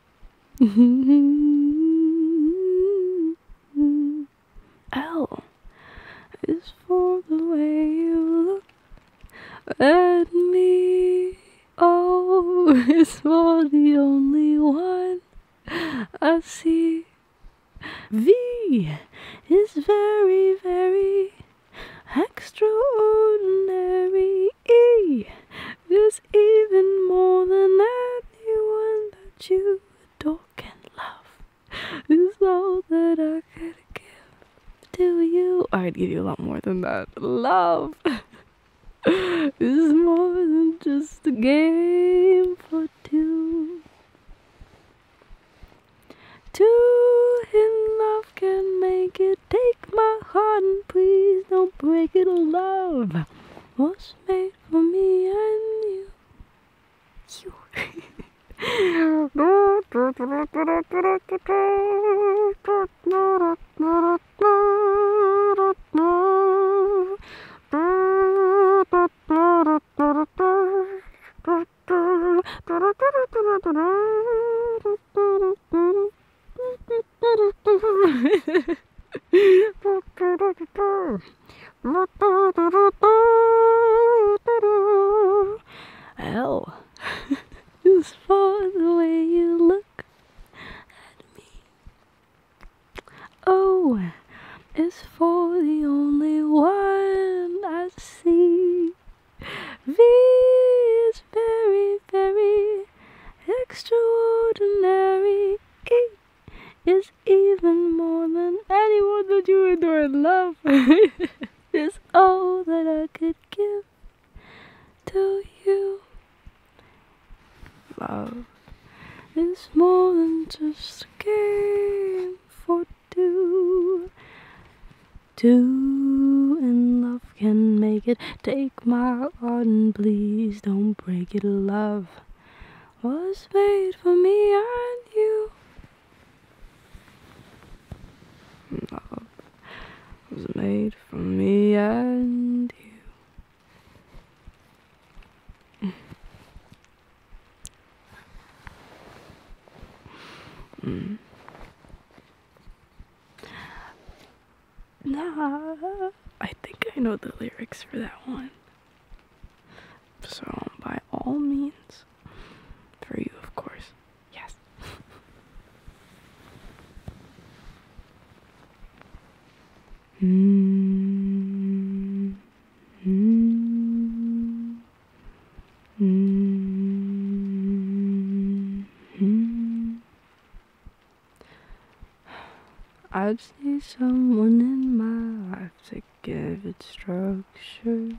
L is for the way you look at me. O is for the only one I see. V is very, very extraordinary. E even more than anyone that you adore can love. Is all that I could give to you. I'd give you a lot more than that. Love is more than just a game for two. Two in love can make it. Take my heart and please don't break it. Love was made for me and You. Ow. Just for the way you look at me. Oh, it's for the only one I see. V is very, very extraordinary. E is even more than anyone that you adore and love. is all that I could give to you. Love is more than just a game for two. Two and love can make it. Take my heart and please don't break it, love was made for me and you. was made for me and you. mm. Nah, I think I know the lyrics for that one. So, by all means, for you, of course. Yes. Hmm. Hmm. Hmm. I would need someone in my life to give it structure,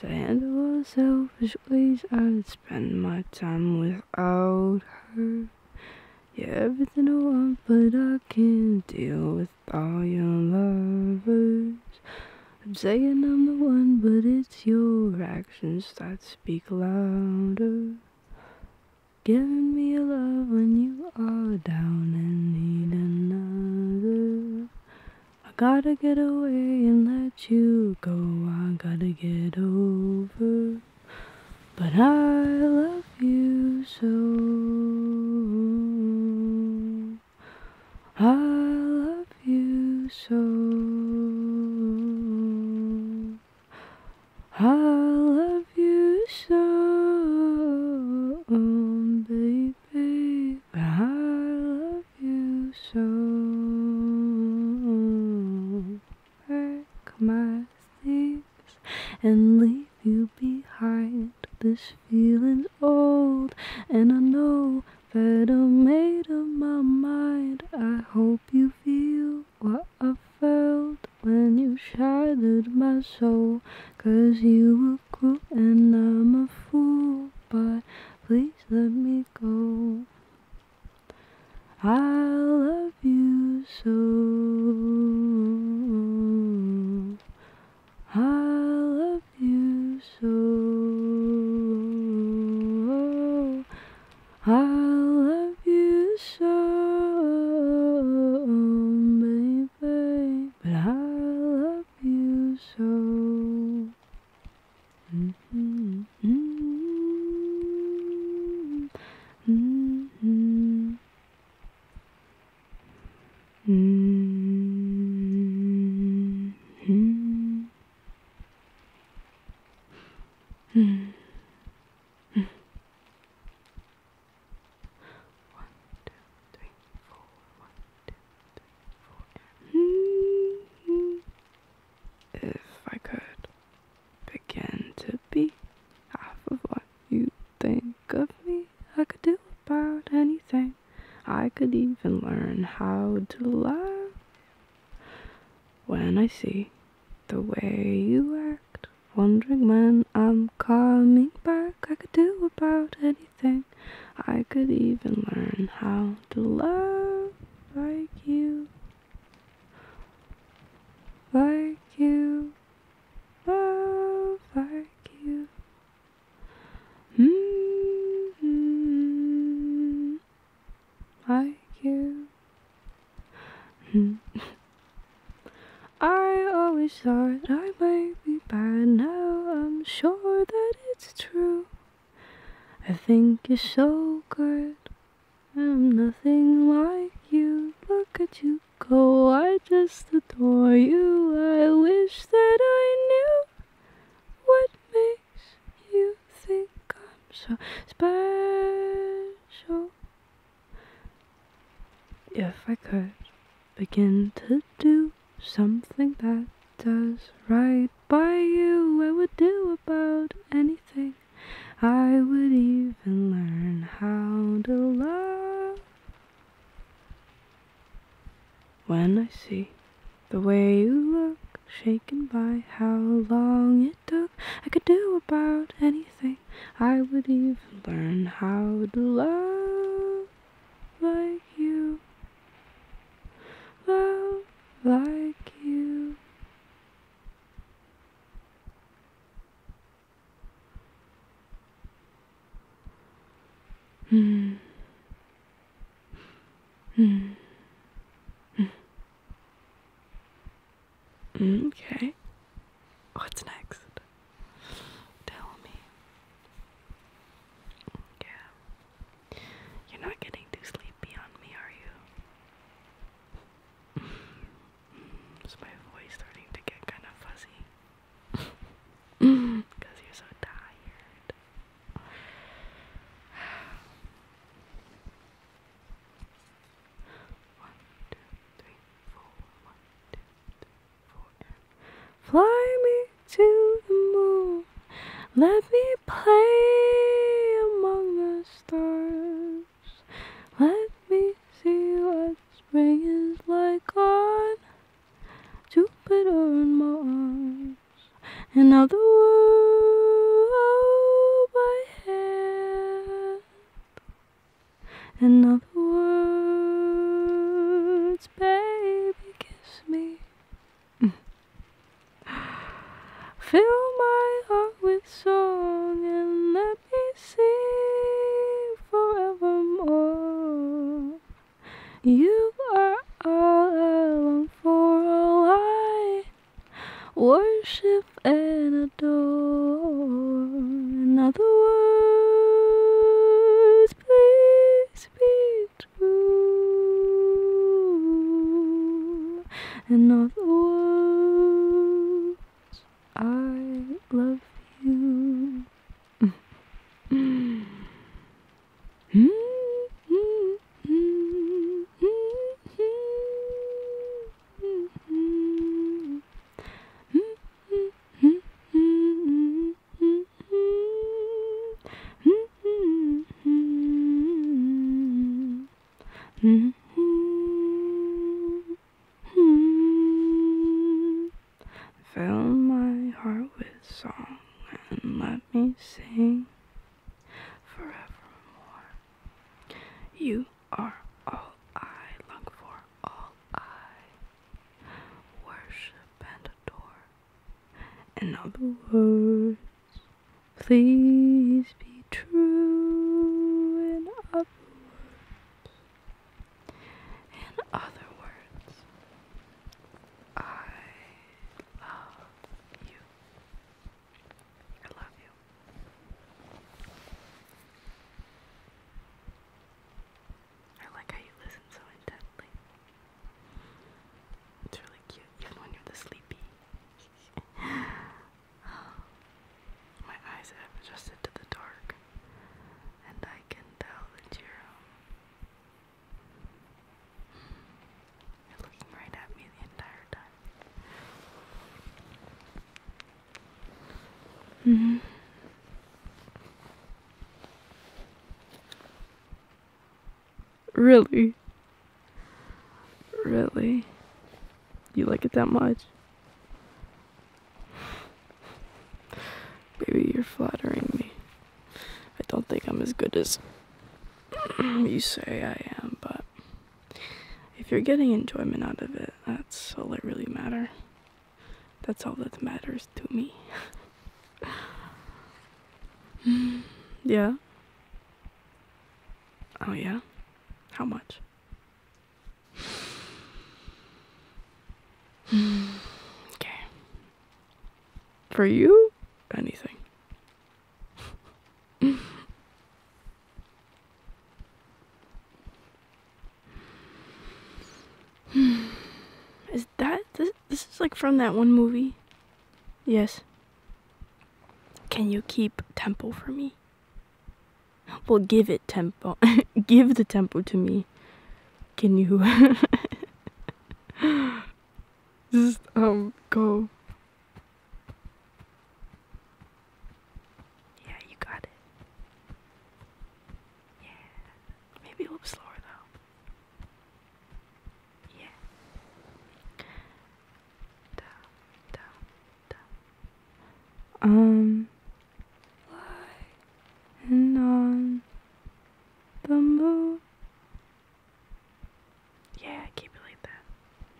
to handle the selfish ways I'd spend my time without her. Yeah, everything I want, but I can't deal with all your lovers. I'm saying I'm the one, but it's your actions that speak louder. Giving me a love when you are down and need another. I gotta get away and let you go. I gotta get over. But I love you so. I love you so. I love you so, baby. I love you so. Pack my things and leave you behind. This feeling's old, and I know that I made up my mind. I hope you feel what I felt when you shattered my soul. Cause you were cruel and I'm a fool, but please let me go. I love you so. I love you so. I love you so, baby, but I love you so. Mm -hmm, mm -hmm, -hmm. -hmm. Mm. One, two, three, four. One, two, three, four. Mm. If I could begin to be half of what you think of me, I could do about anything. I could even learn how to laugh when I see the way you act. Wondering when I'm coming back, I could do about anything. I could even learn how to love like you, like you, love like you. -hmm like you. Hmm. I always thought I might be bad, now I'm sure that it's true. I think you're so good, I'm nothing like you. Look at you go, I just adore you. I wish that I knew what makes you think I'm so special. If I could begin to do something that does right by you, I would do about anything. I would even learn how to love. When I see the way you look, taken by how long it took. I could do about anything. I would even learn how to love like you. Love like you. Hmm. Hmm. hmm. Mm, okay. What's next? Tell me. Yeah. You're not getting too sleepy on me, are you? Is my voice starting to get kind of fuzzy? Because you're so tired. One, two, three, four. One, two, three, four. fly me to the moon. Let me play among the stars. Let me see what spring is like on Jupiter and Mars. In other words, oh, head In other words, baby, kiss me mm. Fill my heart with song and let me sing forevermore You are all I long for, all I worship and adore. In other words, please be true. In other words, I love you. Hmm. Hmm. Hmm. Fill my heart with song and let me sing forevermore. You are all I long for, all I worship and adore. In other words, please be true. In other in other words, I love you. I love you. I like how you listen so intently. It's really cute, even when you're the sleepy. My eyes have adjusted to the dark, and I can tell that you're. Um, you're looking right at me the entire time. hmm. Really? Really? You like it that much? Baby, you're flattering me. I don't think I'm as good as you say I am, but if you're getting enjoyment out of it, that's all that really matters. That's all that matters to me. yeah. Oh, yeah? How much? okay. For you, anything is that this, this is like from that one movie? Yes. Can you keep tempo for me? Well, give it tempo. give the tempo to me. Can you? Just um go yeah, you got it. Yeah. Maybe a little slower though. Yeah. Da, da, da. on the moon yeah, keep it like that.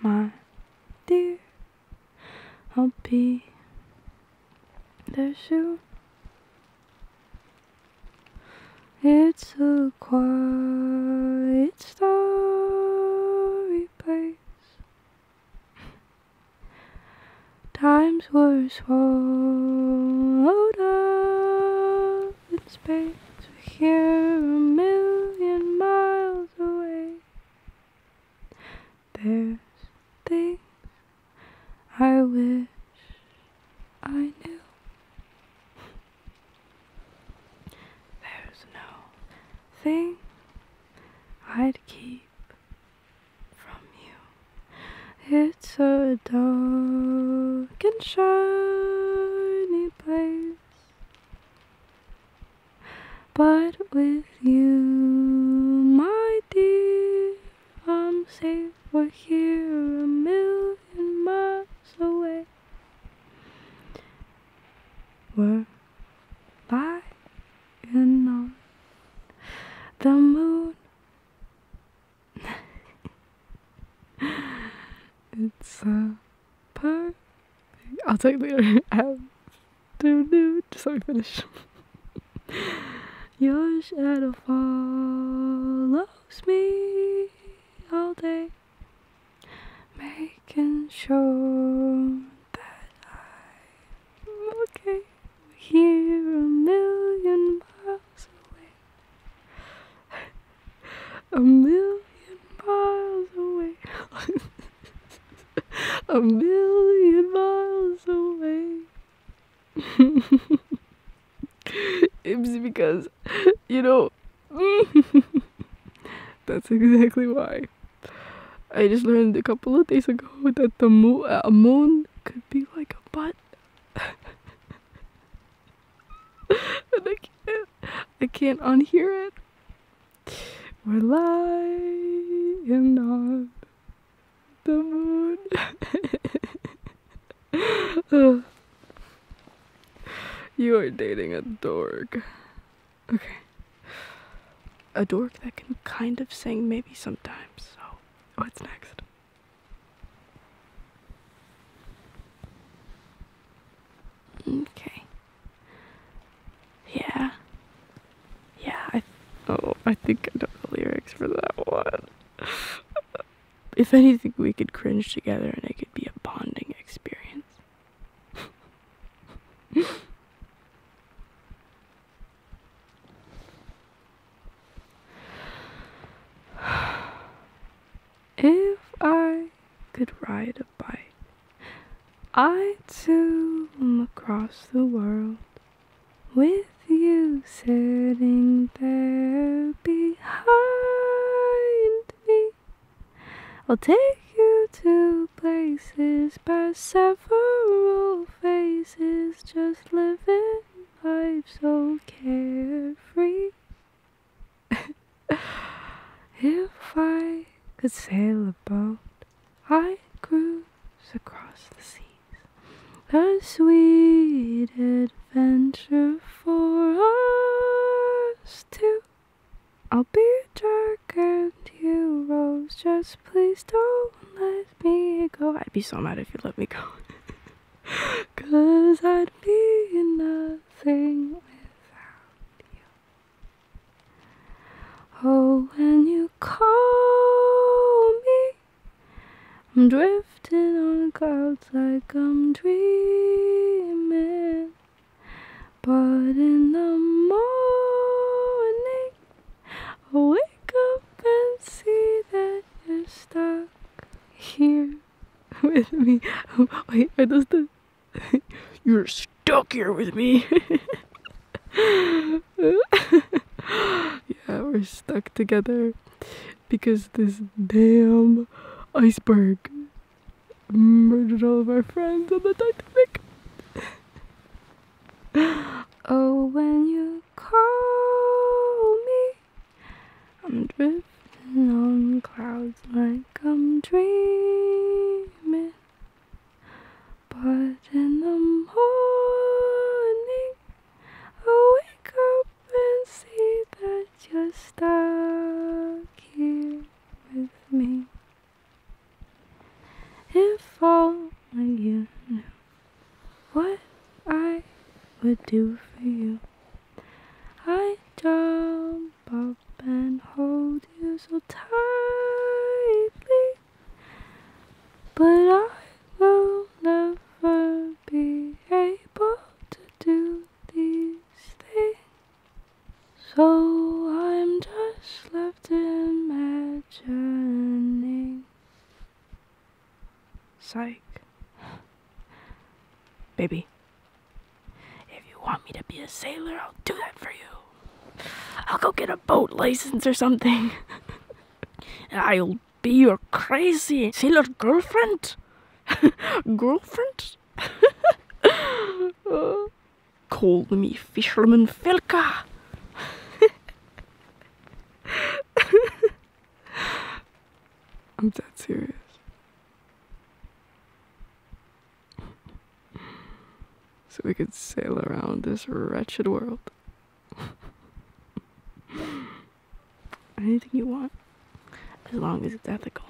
My dear, I'll be there shoe. It's a quiet starry place. Times were swallowed up in space. We're here a million miles away. There's things I wish I knew. There's no thing I'd keep from you. It's a dark and shiny place. But with you, my dear, I'm safe. We're here a million miles away. We're by and on the moon. it's uh per I'll take the other um, do do Just let me finish. Your shadow follows me all day, making sure that I'm okay. Here a million miles away a million miles away. a million miles away. it's because, you know, that's exactly why. I just learned a couple of days ago that the moon, moon could be like a butt. I can't, I can't unhear it. We're lying on the moon. you are dating a dork. Okay. A dork that can kind of sing maybe sometimes. So, what's next? Okay. Yeah. Yeah, I oh, I think I know the lyrics for that one. if anything, we could cringe together and it could be a bonding experience. If I could ride a bike, I'd zoom across the world with you sitting there behind me. I'll take you to places by several faces, just living life so carefree. if I could sail a boat, I'd cruise across the seas. A sweet adventure for us two. I'll be dark and you rose. Just please don't let me go. I'd be so mad if you let me go. Cause I'd be in without you. Oh, when you call me, I'm drifting on clouds like I'm dreaming. But in the morning, I wake up and see that you're stuck here. with me. Oh, wait, are those the. You're stuck here with me. yeah, we're stuck together because this damn iceberg murdered all of our friends on the Titanic. oh, when you call me I'm drifting on clouds like I'm dreaming. But in the morning, I wake up and see that you're stuck here with me. If only you knew what I would do for you. I jump up and hold you so tightly, but I will never be able to do these things. So I'm just left imagining. Psych. Baby, if you want me to be a sailor, I'll do that for you. I'll go get a boat license or something. I'll be your crazy sailor girlfriend. girlfriend? uh, call me Fisherman Filka. I'm dead serious. So we could sail around this wretched world. Anything you want, as long as it's ethical.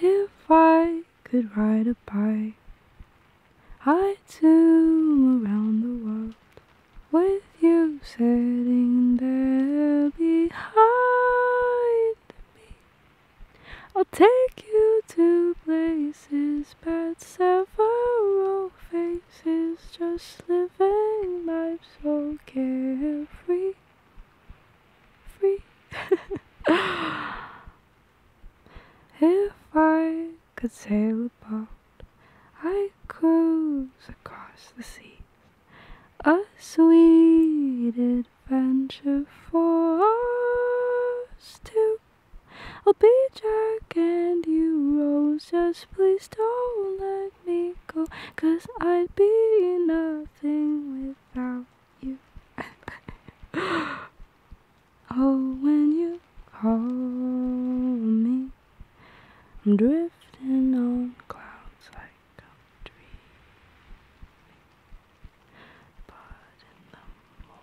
If I could ride a bike. I'd zoom around the world with you sitting there behind me. I'll take you to places, but several faces, just living life so carefree. Free. If I could sail a I'd cruise across the sea. A sweet adventure for us two. I'll be Jack and you Rose, just please don't let me go, cause I'd be nothing without you. Oh, when you call me, I'm drifting on clouds like a dream. But in the morning,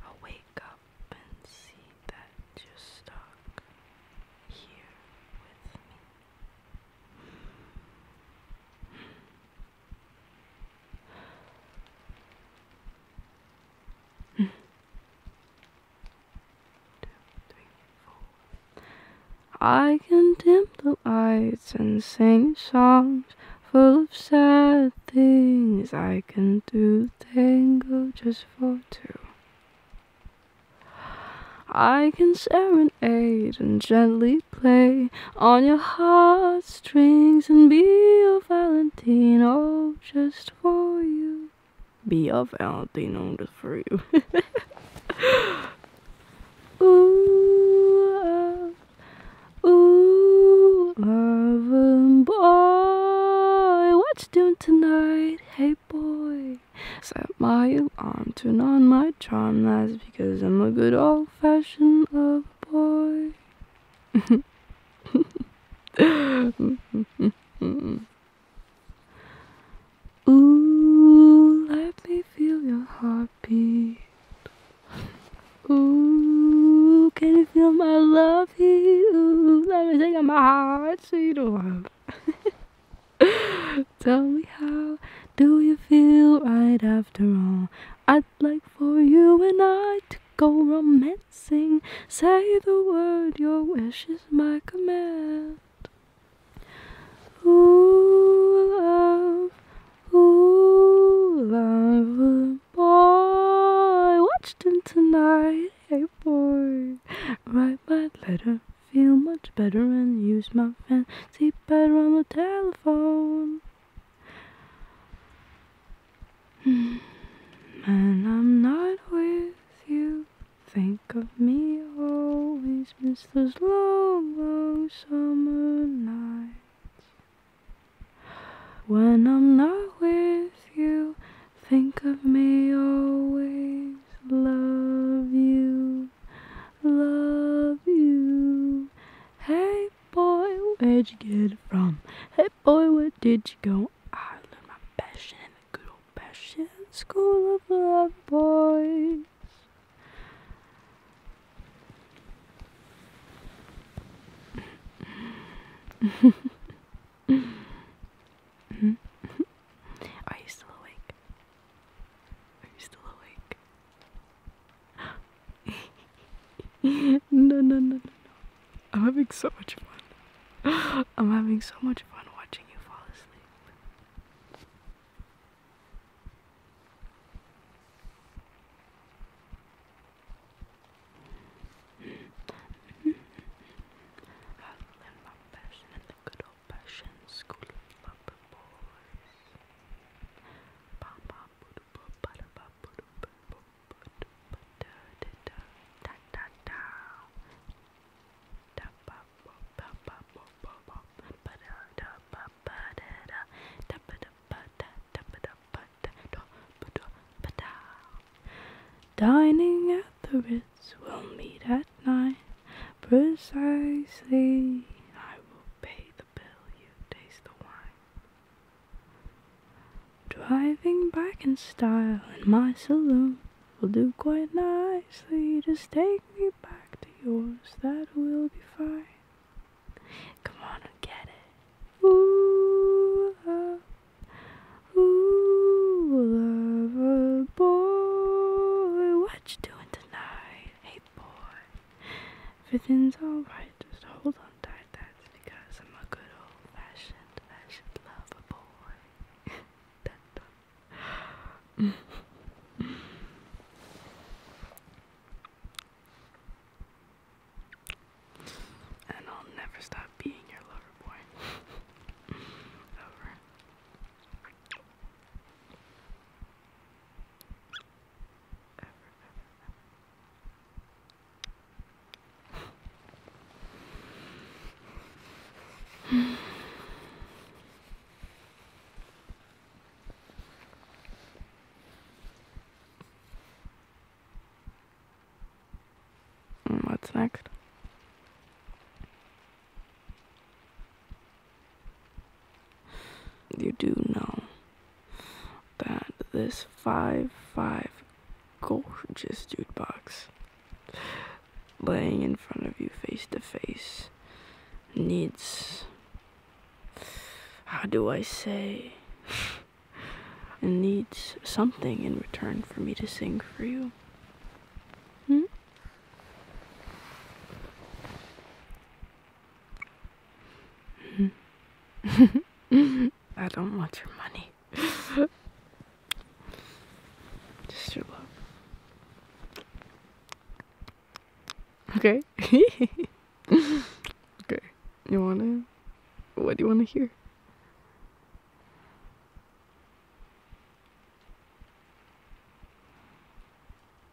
i wake up and see that you're stuck here with me. I can dim the lights and sing songs full of sad things. I can do tango just for two. I can serenade serenade and gently play on your heartstrings and be a Valentino just for you. Be a Valentino just for you. ooh, uh, ooh, Marvin boy, what you doing tonight? Hey boy, set my alarm, turn on my charm. That's because I'm a good old-fashioned Oh boy. Ooh, let me feel your heartbeat. Ooh, can you feel my love here? Ooh, let me take my heart so you do Tell me how do you feel right after all? I'd like for you and I to go romancing. Say the word, your wish is my command. Ooh, love, ooh, love, boy. Watched him tonight, hey boy. Write my letter, feel much better, and use my fancy better on the telephone. When hmm. I'm not with you. Think of me always, miss those long, long summer nights. When I'm not with you, think of me always. Love you, love you, Hey boy, where'd you get it from? Hey boy, where did you go? I learned my passion in the good old passion school of love, boys. Are you still awake? Are you still awake? no, no, no, no, no. I'm having so much fun. I'm having so much fun watching you fall asleep. Dining at the Ritz, we'll meet at nine. Precisely, I will pay you taste the wine. Driving back in style in my saloon will do quite nicely. Just take me back to yours, that will be fine. Come on and get it. Ooh, uh, ooh, love, boy, what you doing tonight? Hey, boy, Everything's alright, just hold on tight. That's because I'm a good old fashioned, fashioned lover boy. And I'll never stop being your lover boy. Over. What's next? You do know that this 5 5 gorgeous dude box laying in front of you face to face needs. How do I say? needs something in return for me to sing for you. Hmm? I don't want your money. Just your love. Okay. okay. You wanna? What do you wanna hear?